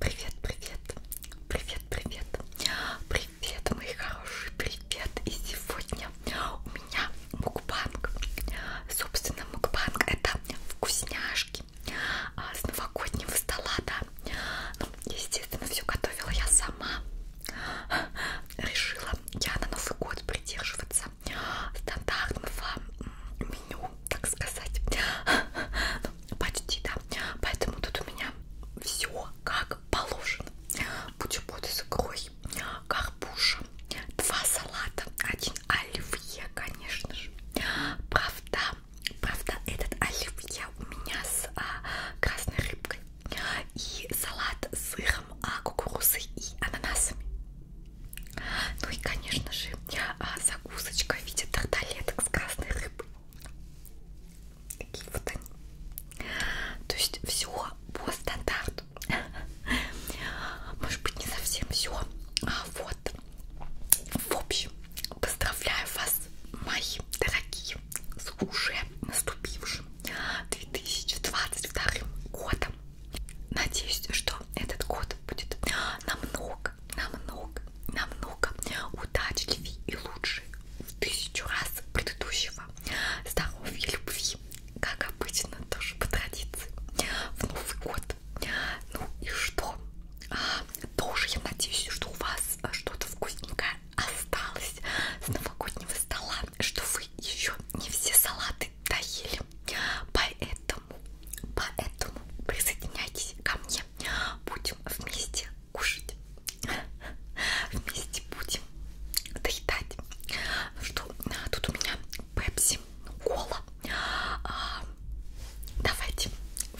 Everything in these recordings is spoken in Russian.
Привет, привет, привет, привет, привет, мои хорошие, привет! И сегодня у меня мукбанг. Собственно, мукбанг это вкусняшки а, с новогоднего стола, да. Ну, естественно, все готовила я сама. Решила я на Новый год придерживаться стандартного меню так сказать. Ну, почти, да. Поэтому тут у меня все как положено. Бутерброды с икрой, карпуша, два салата, один оливье, конечно же. Правда, правда, этот оливье у меня с а, красной рыбкой. И салат с сыром, а, кукурузой и ананасами. Ну и, конечно же, а, закусочка в виде тарталеток с красной рыбой. Такие вот они. То есть все по стандарту. Может быть, не совсем все. А вот. В общем, поздравляю вас, мои дорогие, с уже наступившим 2022 годом. Надеюсь, что этот год будет намного намного, намного удачливее и лучше в тысячу раз предыдущего. Здоровья, любви, как обычно, тоже по традиции, в Новый год. Ну и что? А, тоже я надеюсь, что у вас что-то вкусненькое осталось с новогоднего стола, что вы еще не все салаты доели. Поэтому Поэтому, поэтому присоединяйтесь ко мне. Будем вместе кушать. Вместе будем доедать. Ну что, а тут у меня пепси, кола. А, давайте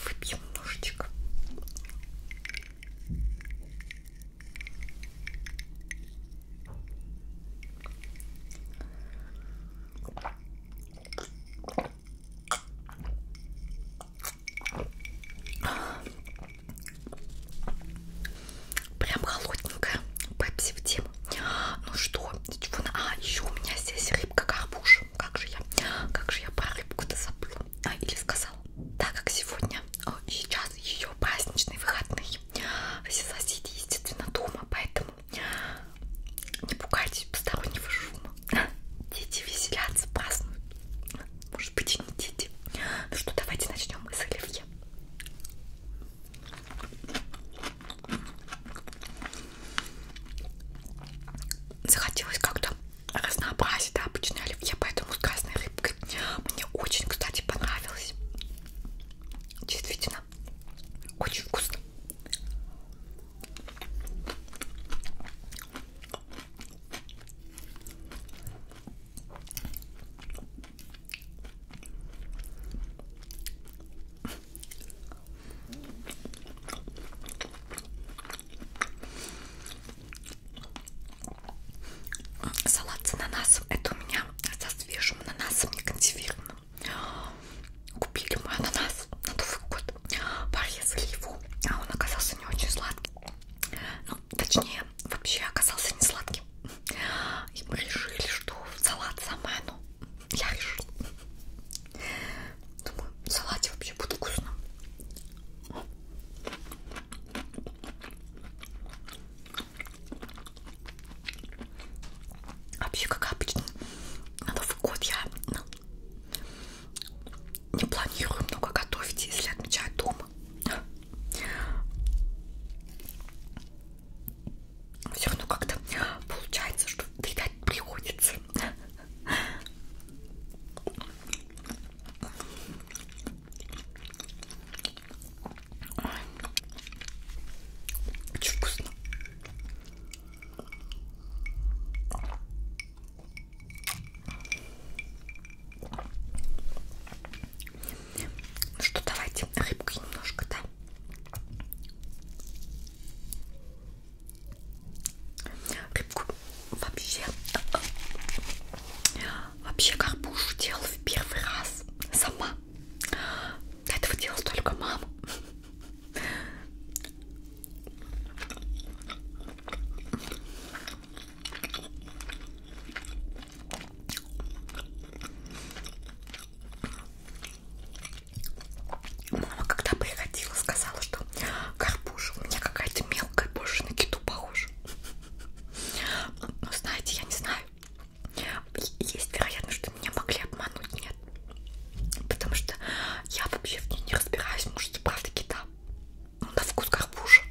выпьем немножечко. Прям холодненькая. Пепси в тему. Ну что, а, еще у меня здесь рыбка-карпуш. Как же я? Как же я про рыбку-то забыла? А, или сказала? Так как сегодня, а, сейчас ее праздничные выходные. Все соседи, естественно, дома, поэтому не пугайтесь постороннего шума. Дети веселятся, празднуют. Может быть и не дети. Ну что, давайте начнем с оливье. Захотелось как-то разнообразить да, обычное оливье, поэтому с красной рыбкой мне очень, кстати, понравилось. Действительно вкусно. Очень вкусно. Салат с ананасом. Это у меня со свежим ананасом не консервированным. Купили мы ананас на Новый год, порезали его, а он оказался не очень сладкий. Ну, точнее, вообще оказался не сладким. И мы решили, что салат самое оно. Ну, я решила. Думаю, в салате вообще будет вкусно. Вообще, как обычно, на Новый год я ну, не планирую много готовить, если отмечаю дома. Все равно как-то получается, что доедать приходится. Очень вкусно. Ну что, давайте рыбкой немножко, да? Рыбку вообще, вообще карпушу делала в первый раз сама. До этого делала только мама. Мама, когда приходила, сказала, что карпуша у меня какая-то мелкая, больше на киту похожа. Но ну, знаете, я не знаю. Есть вероятность, что меня могли обмануть, нет. Потому что я вообще в ней не разбираюсь, может, правда кита. Ну, на вкус карпуша.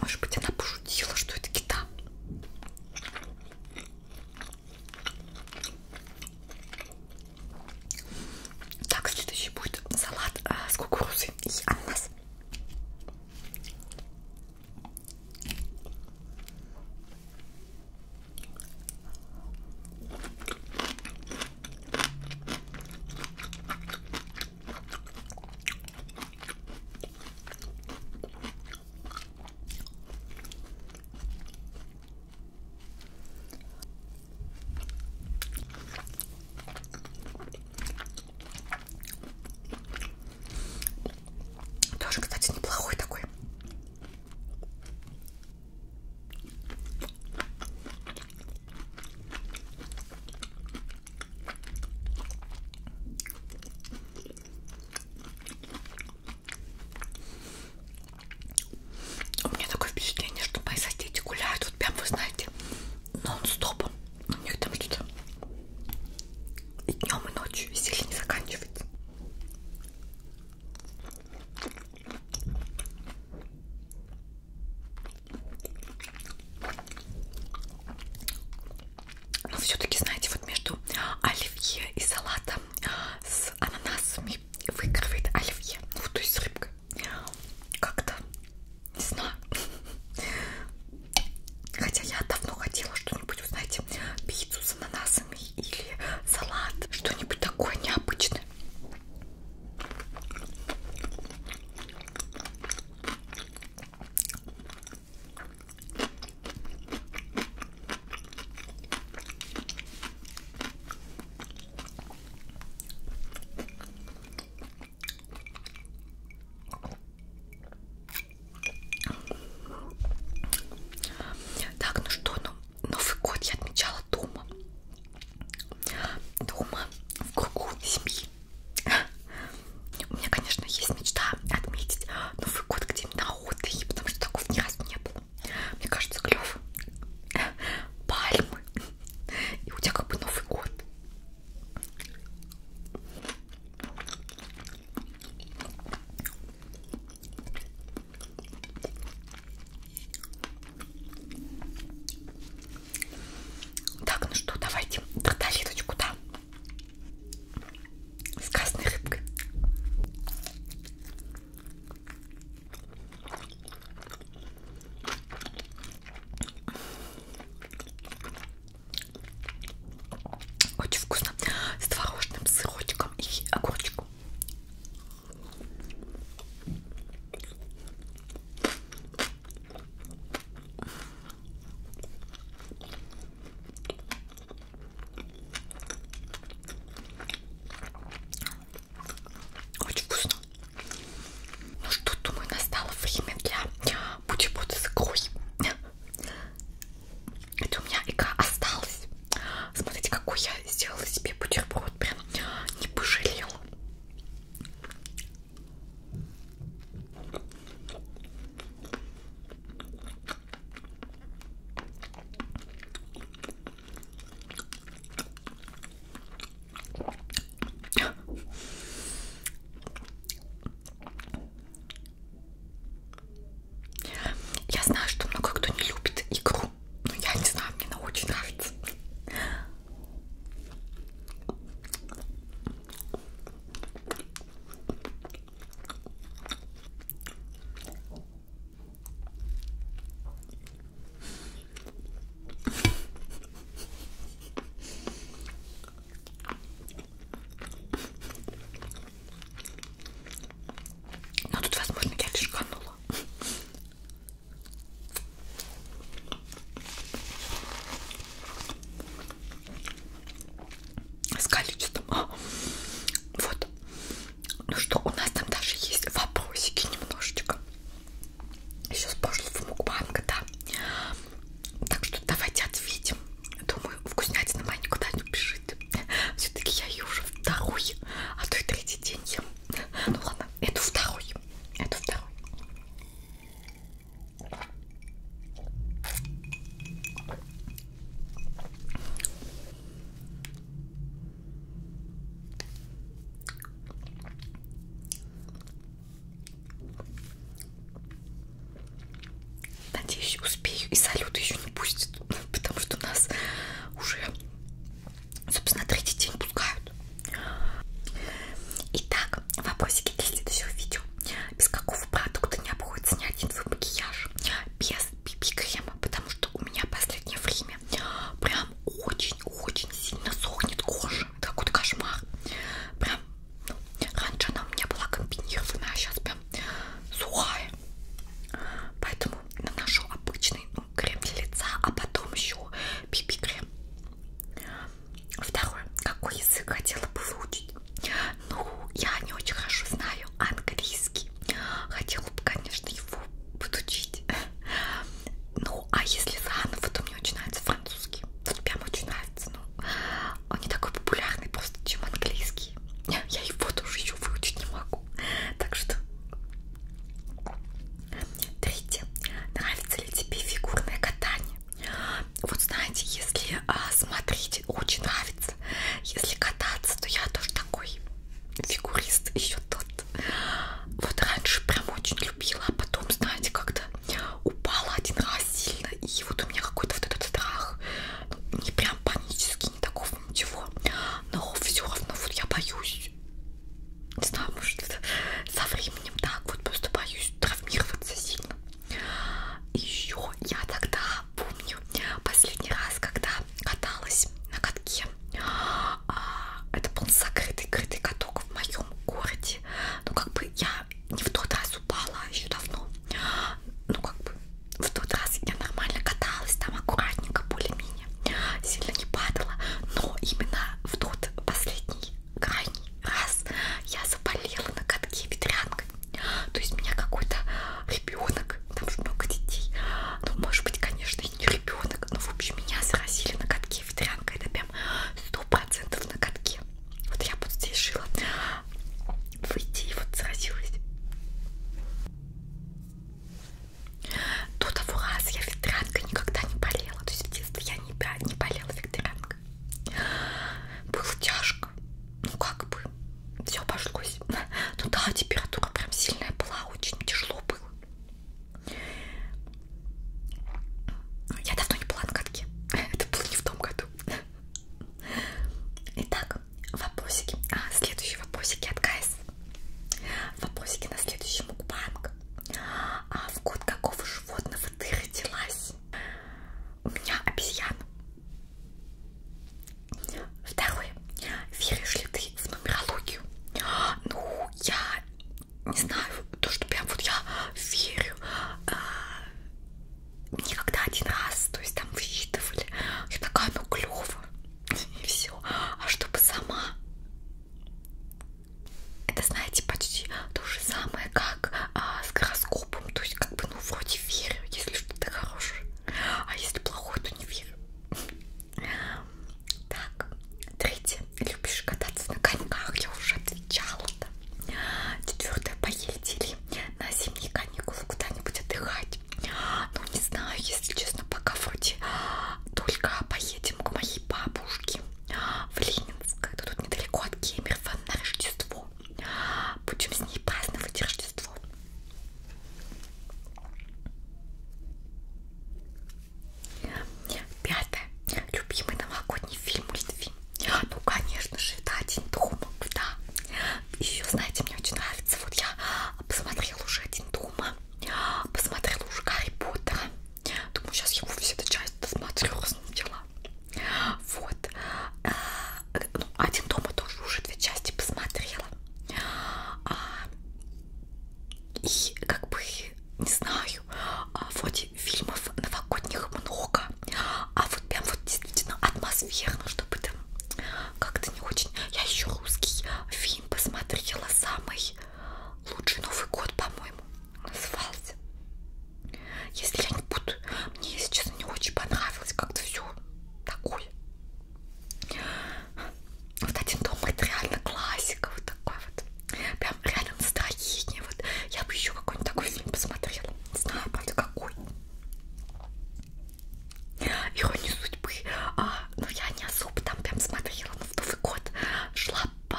Может быть, она пошутила, что это кита. Так, следующий а будет салат а, с кукурузой и ананас. Тоже, кстати, неплохой такой. У меня такое впечатление, что мои соседи гуляют, вот прям, вы знаете, нон-стопом. У них там что-то и днем, и ночью веселье не заканчивается но все-таки, знаете, вот между оливье и салатом а, с ананасами выигрывает оливье. Ну, то есть с рыбкой. Как-то, не знаю. Хотя я давно хотела что-нибудь, знаете, пиццу с ананасами или салат. Что-нибудь такое необычное. Так, ну что, ну, Новый год я отмечала дома. Дома в кругу семьи. У меня, конечно, есть мечта отметить Новый год где-нибудь на отдыхе, потому что такого ни разу не было. Мне кажется, клев пальмы. И у тебя как бы Новый год. Так, ну что, давайте тарталеточку, да? с красной рыбкой. Очень вкусно с творожным сырочком и огурчиком. Очень вкусно. Ну что, думаю, настало время для бутерброда с икрой. Это у меня икра осталась. Смотрите, какой я сделала себе бутерброд. Прям не пожалела. Я знаю, что много кто не любит игру, но я не знаю, мне она очень нравится. Но тут, возможно, я лишь канула с количеством. А, вот. Ну что, у нас там даже есть вопросики немножечко. Еще с прошлого мукбанга, да. Так что давайте ответим. Думаю, вкуснятина моя никуда не убежит. Все-таки я ее уже второй, а то и третий день ем. Ну ладно, это второй. Это второй. Надеюсь, успею. И салют еще не пустит, потому что нас уже, собственно, третий день пускают. Итак, вопросики для следующего видео без какого продукта не обходится ни один свой макияж без BB-крема, потому что у меня последнее время прям очень-очень сильно сохнет кожа. Это какой-то кошмар. Прям, ну, раньше она у меня была комбинированная, а сейчас прям сухая. Поэтому наношу обычный ну, крем для лица, а потом еще BB-крем. Второе. Какой язык хотела бы выучить? Ну, я не очень хорошо знаю английский. Хотела бы, конечно, его подучить. Ну, а если заново, то мне очень нравится французский. Вот прям очень нравится. Ну, он не такой популярный просто, чем английский. Я его тоже еще выучить не могу. Так что... Третье. Нравится ли тебе фигурное катание? Вот знаете, если а, смотреть, очень нравится. Если кататься, то я тоже такой фигурист еще тот. Вот раньше прям очень любила, а потом, знаете, как-то упала один раз сильно. И вот у меня какой-то вот этот страх. Ну, не прям панический, не такого ничего. Но все равно вот я боюсь. Не знаю, может, со временем так вот просто боюсь травмироваться сильно еще я тогда помню последний раз, когда каталась на катке. А, это был закрытый, крытый каток в моем городе. Ну, как бы я не в тот раз упала а еще давно. Ну, как бы в тот раз я нормально каталась, там аккуратненько, более-менее. Сильно не падала. Но именно в тот последний крайний раз я заболела на катке ветрянкой. То есть меня какой-то ребенок, там же много детей, ну может быть, конечно, и не ребенок, но в общем меня заразили на катке ветрянкой, это прям сто процентов на катке. Вот я вот здесь жила выйти и вот заразилась. До того раз я ветрянкой никогда не болела, то есть в детстве я не, не болела ветрянкой. Было тяжко. Ну как бы. Все обошлось. Ну да, температура прям сильная была, очень тяжело было. Я давно не была на катке. Это было не в том году. Итак, вопросики. А, следующие вопросики от Гайс. Вопросики на следующий мукбанг. А в год какого животного ты родилась? У меня обезьян. Второе. Веришь ли ты в нумерологию? Ну, я не знаю, то, что прям вот я верю. А, мне когда один раз, то есть там высчитывали, я такая, ну клево, и все. А чтобы сама это, знаете, почти то же самое, как а, с гороскопом. То есть, как бы, ну, вроде верю, если что-то хорошее. А если плохое, то не верю. Так, третье. Любишь кататься на коньках? Я уже отвечала. Да. Четвертое. Поездили на зимние каникулы куда-нибудь отдыхать. Ну, не знаю, если честно, пока вроде только поедем к моей бабушке в Ленинск. Это тут недалеко от Кемерово на Рождество. Будем с ней праздновать Рождество. Пятое. Любимый новогодний фильм Литвин. Ну, конечно же, это один дома, да. Еще, знаете, мне очень нравится. Вот я посмотрела уже один дома. Посмотрела уже Гарри Поттера. Думаю, сейчас я все это часть досмотрю, дела. Вот. А, ну, один дома тоже уже две части посмотрела. А, и как бы, не знаю, а вроде фильмов новогодних много, а вот прям вот действительно атмосферно, чтобы там как-то не очень. Я еще русский фильм посмотрела самый лучший Новый год, по-моему назывался. Если я не буду, мне, если честно, не очень понравилось как-то все такое. Вот один дом это реально классика, вот такой вот. Прям реально настроение. Вот я бы еще какой-нибудь такой фильм посмотрела. Не знаю, правда, какой. Ирония судьбы. А, ну я не особо там прям смотрела, но в Новый год шла по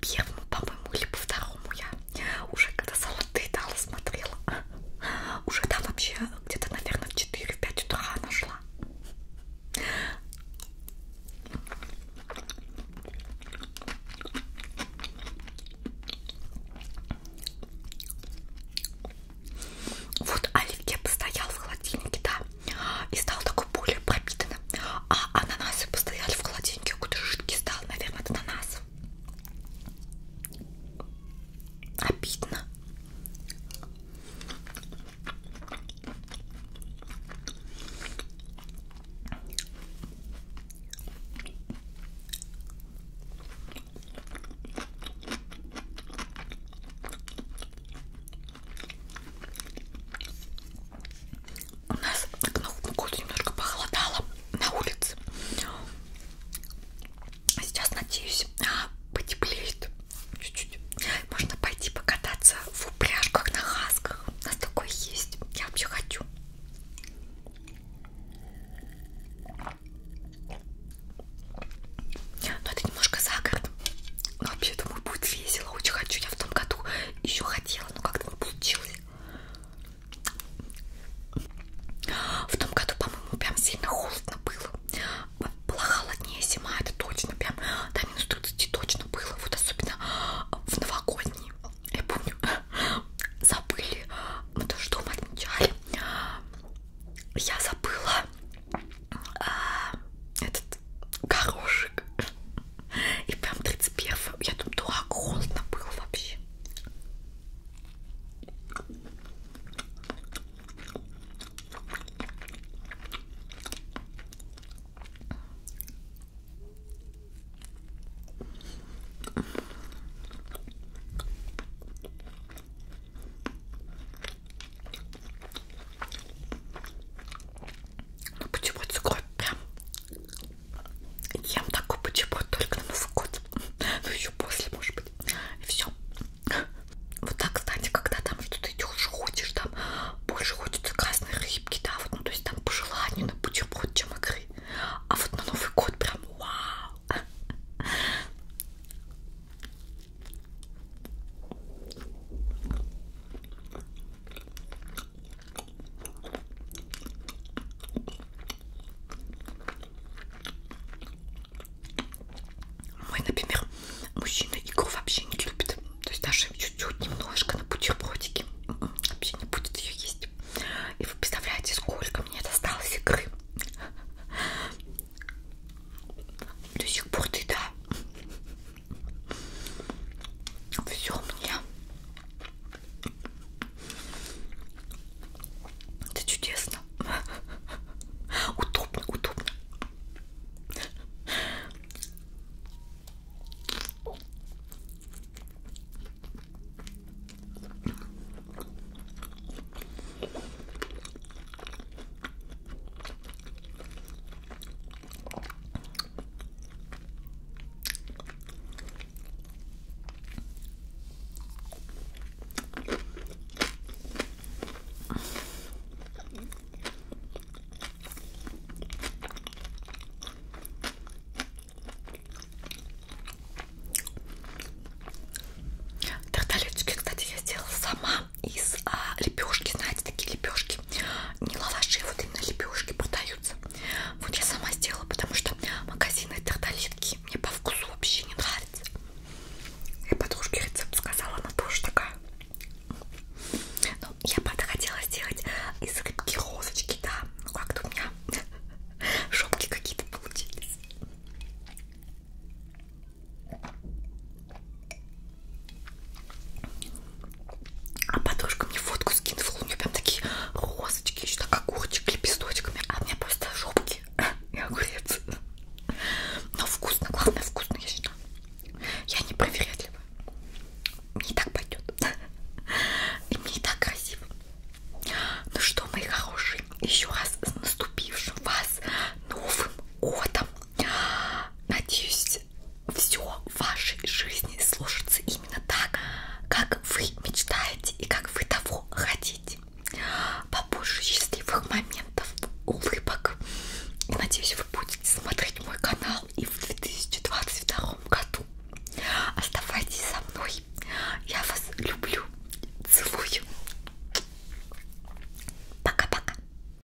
первому, по-моему, либо второму я уже когда золотые дала смотрела. Уже там вообще где-то, наверное, в 4-5 утра нашла. Вот оливье постоял в холодильнике, да и стал такой более пропитанным. А ананасы постояли в холодильнике, какой-то жидкий стал, наверное, от ананасов. Обидно. У нас к Новому году немножко похолодало на улице. Сейчас, надеюсь, а, потеплеет чуть-чуть. Можно пойти покататься в упряжках на хасках. У нас такое есть. Я вообще хочу. Но это немножко за городом. Ну, вообще, думаю, будет весело. Очень хочу. Я в том году еще хотела, но как-то не получилось. В том году, по-моему, прям сильно холодно было. Была холоднее зима, это точно. Прям до минус 30 точно было. Вот особенно в новогодний. Я помню, забыли. Мы тоже дома отмечали. Я забыла а, этот горошек. И прям 31 я тут дурак, холодно было вообще. Но ну, почему-то скоро прям ем такой почему-то только на Новый год. Ну еще после, может быть. И все. Вот так, кстати, когда там что-то идешь, хочешь, там больше хочется красной рыбки, да, вот, ну то есть там по желанию на бутерброд, чем икры. А вот на Новый год прям вау! Мой, например, мужчина икру вообще не любит. То есть даже чуть-чуть немножко на бутербродике м-м, вообще не будет ее есть. И вы представляете, сколько мне досталось икры. До сих пор ты да. Все мне. Ну Это чудесно. Удобно, удобно. Тарталеточки, кстати, я сделала сама из а, лепешки, знаете, такие лепешки, не лаваши, вот именно лепешки продаются. Вот я сама сделала, потому что магазины тарталетки мне по вкусу вообще не нравятся. И подружке рецепт сказала, она тоже такая. Ну, я правда хотела сделать из рыбки розочки, да. Ну как-то у меня шопки какие-то получились. А подружка мне фотку скинула, у нее прям такие розочки, еще так огурчик лепесточками, а у меня просто жопки и огурец. Но вкусно, главное вкусно, я считаю. Я не проверятлива. Мне и так пойдет. И мне и так красиво. Ну что, мои хорошие, еще раз с наступившим вас Новым годом. Надеюсь, все в вашей жизни сложится именно так, как вы мечтаете и как вы того хотите. Побольше счастливых моментов, улыбок. И надеюсь, вы будете смотреть мой канал и в 2022 году. Оставайтесь со мной. Я вас люблю. Целую. Пока-пока.